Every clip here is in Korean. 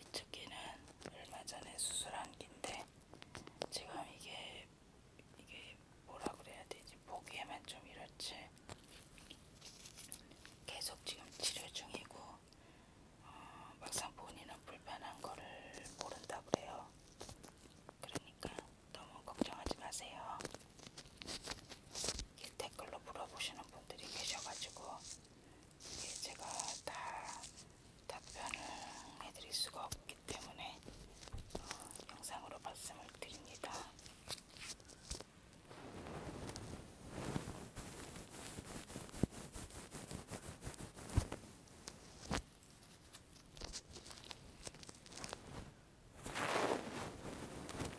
이쪽 귀는 얼마 전에 수술한 귀인데 지금 이게 이게 뭐라 그래야 되지 보기에만 좀 이렇지 계속 지금 치료 중이고 어, 막상 본인은 불편한 거를 모른다 그래요. 그러니까 너무 걱정하지 마세요. 댓글로 물어보시는 분들이 계셔가지고 이게 제가 다 답변을 해드릴 수가 없기 때문에 어, 영상으로 말씀을 드립니다.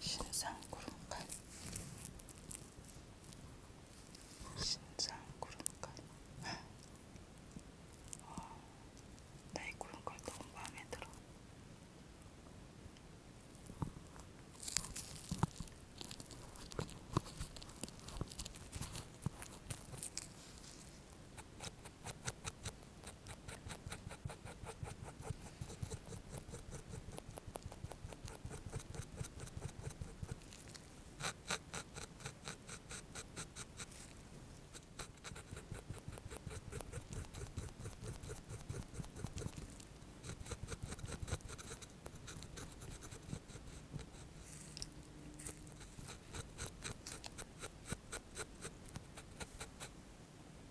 신상 구름칼 진짜 구름깔. 와, 나이 구름깔 너무 마음에 들어.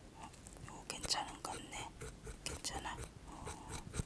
어, 이거 괜찮은 것 같네. 괜찮아. 어.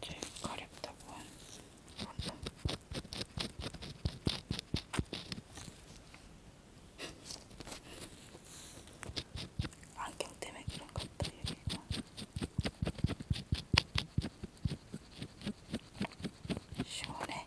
제일 가렵다고 한 건담. 안경 때문에 그런 것 같다, 여기가. 시원해.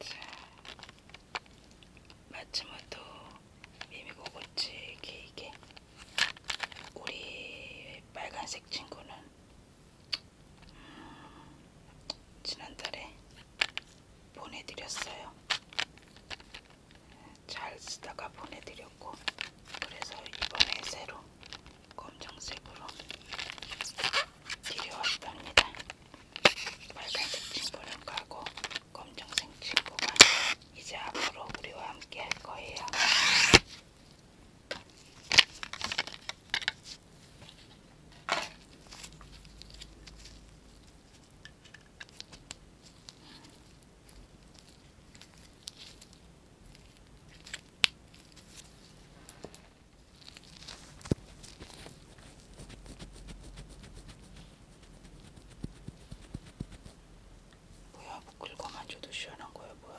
자, 마츠모토 미미고고치 케이크 우리 빨간색 친구는 음, 지난달에 보내드렸어요. 잘 쓰다가 보내드렸고 그래서 이번에 새로 검정색으로 들여왔답니다. 빨간색 친구는 가고 검정색 친구가 이제 앞으로 우리와 함께 할 거예요. 뭐야 뭐 끌고 만져도 시원한 거야 뭐야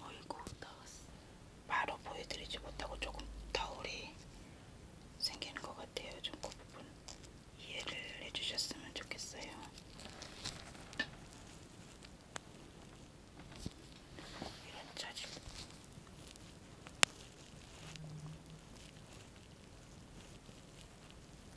어이구 나왔어. 바로 보여드리지 못하고 조금 더울이 생기는 것 같아요. 좀그 부분 이해를 해주셨으면 좋겠어요. 이런 짜증.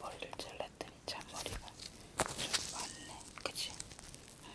머리를 잘랐더니 잔머리가 좀 많네, 그치? 응.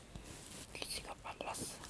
귀지가 빨랐어. 다 말라.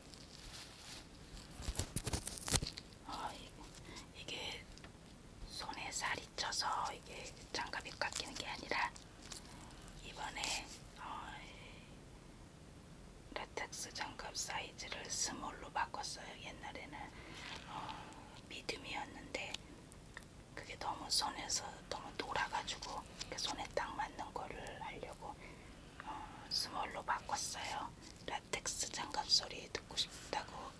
어, 아, 이, 이게 손에 살이 쪄서 이게 장갑이 깎이는 게 아니라 이번에 어, 라텍스 장갑 사이즈를 스몰로 바꿨어요. 옛날에는 어, 미디움이었는데 그게 너무 손에서 너무 돌아가지고 손에 딱 맞는 거를 하려고 어, 스몰로 바꿨어요. 라텍스 장갑 소리 듣고 싶다고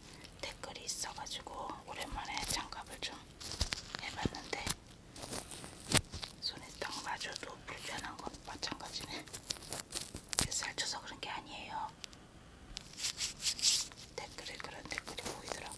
댓글이 있어가지고 오랜만에 장갑을 좀 해봤는데 손에 딱 맞아도 불편한 건 마찬가지네. 살쪄서 그런 게 아니에요. 댓글에 그런 댓글이 보이더라고.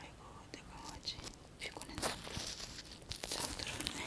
아이고 내 강아지 피곤했나 잠들었네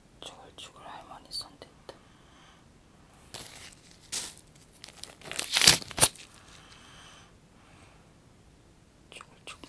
죽을죽을 할머니 손댔다. 죽을죽을.